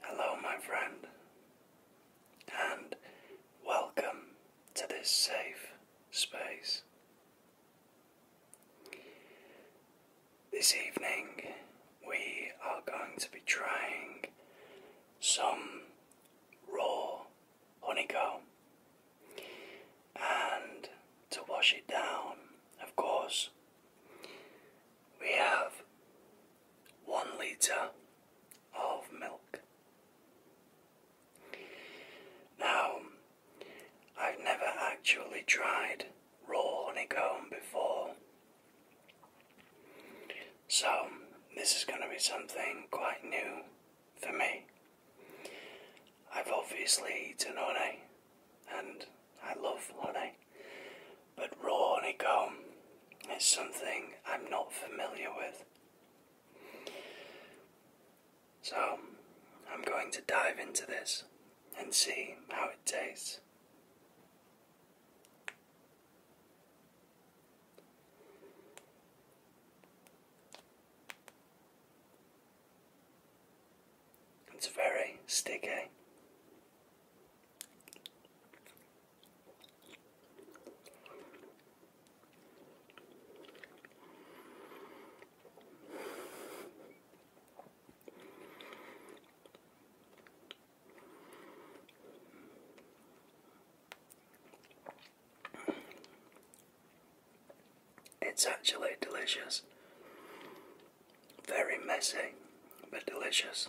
Hello, my friend, and welcome to this safe space. This evening we are going to be trying some raw honeycomb. And to wash it down, of course, we have one litre of milk. Now, I've never actually tried raw honeycomb before, so, this is going to be something quite new for me. I've obviously eaten honey, and I love honey, but raw honeycomb is something I'm not familiar with. So, I'm going to dive into this and see how it tastes. It's very sticky. It's actually delicious. Very messy, but delicious.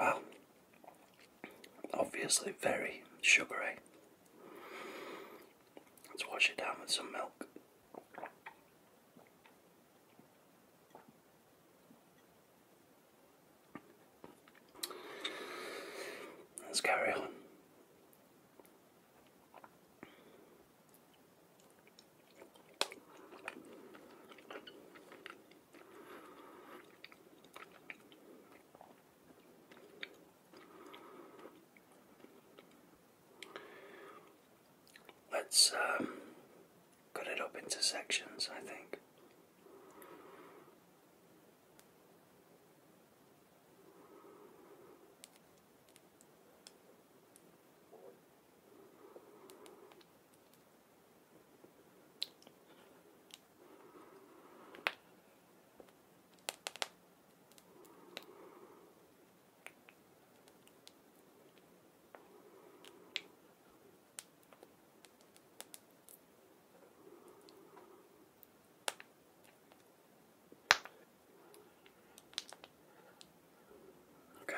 Well, obviously very sugary. Let's wash it down with some milk. Let's carry on. Let's um, cut it up into sections, I think. Okay,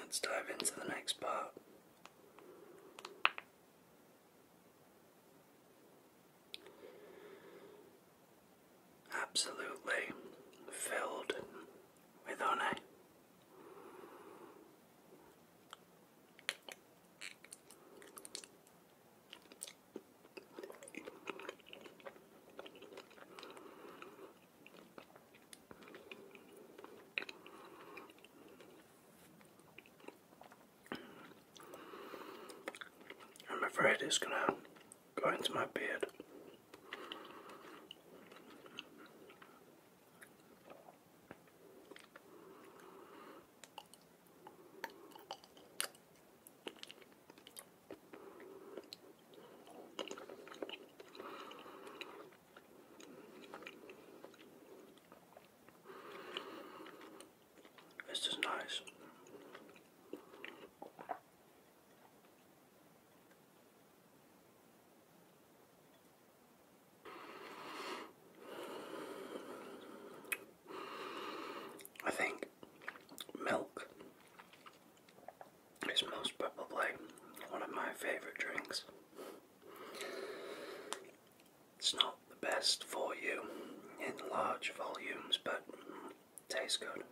let's dive into the next part. Absolutely filled with honey. I'm afraid it's going to go into my beard. This is nice. I think milk is most probably one of my favourite drinks. It's not the best for you in large volumes, but tastes good.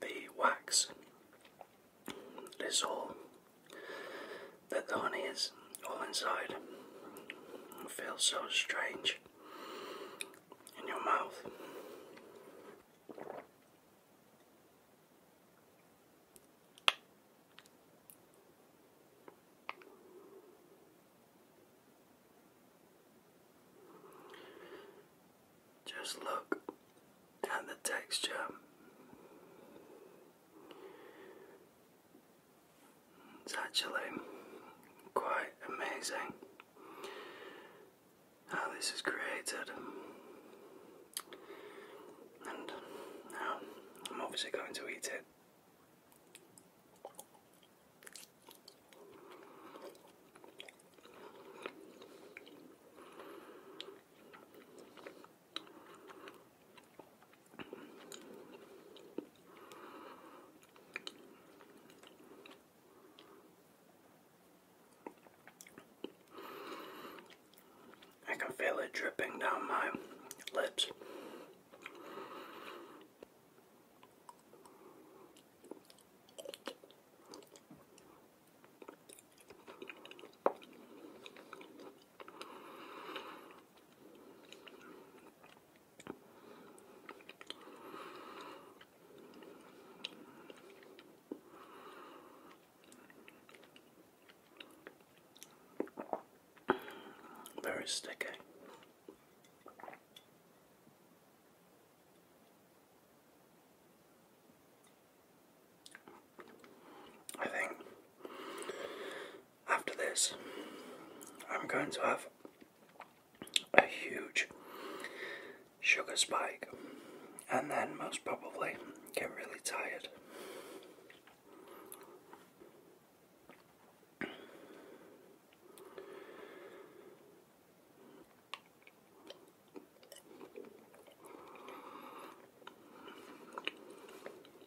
The wax is all that the honey is all inside. It feels so strange in your mouth. Just look at the texture it's actually quite amazing how this is created. And now I'm obviously going to eat it. I can feel it dripping down my lips. Very sticky. I think after this, I'm going to have a huge sugar spike and then most probably get really tired.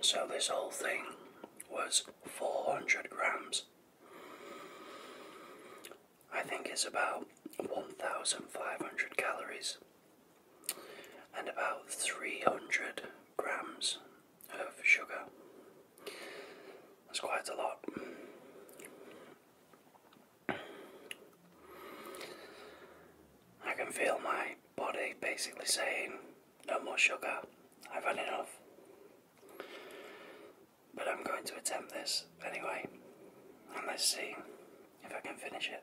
So this whole thing was 400 grams. I think it's about 1,500 calories and about 300 grams of sugar. That's quite a lot. I can feel my body basically saying, No more sugar, I've had enough. But I'm going to attempt this anyway, and let's see if I can finish it.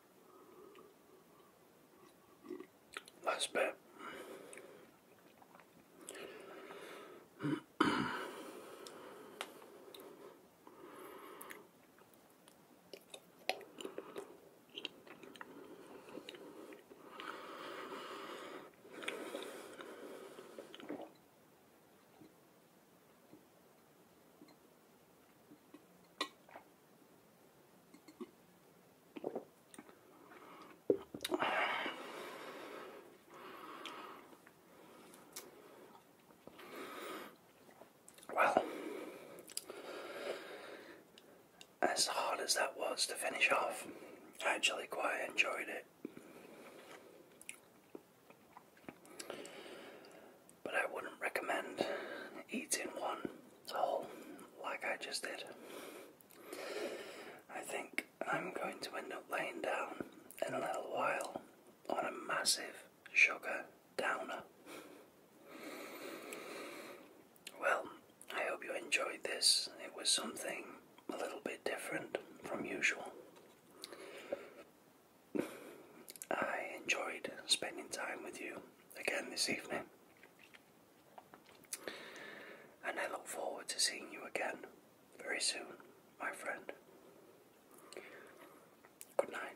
Last bit. Well, as hard as that was to finish off, I actually quite enjoyed it. But I wouldn't recommend eating one whole like I just did. I think I'm going to end up laying down in a little while on a massive sugar downer. Well, I hope you enjoyed this. It was something a little bit different from usual. I enjoyed spending time with you again this evening, and I look forward to seeing you again very soon, my friend. Good night.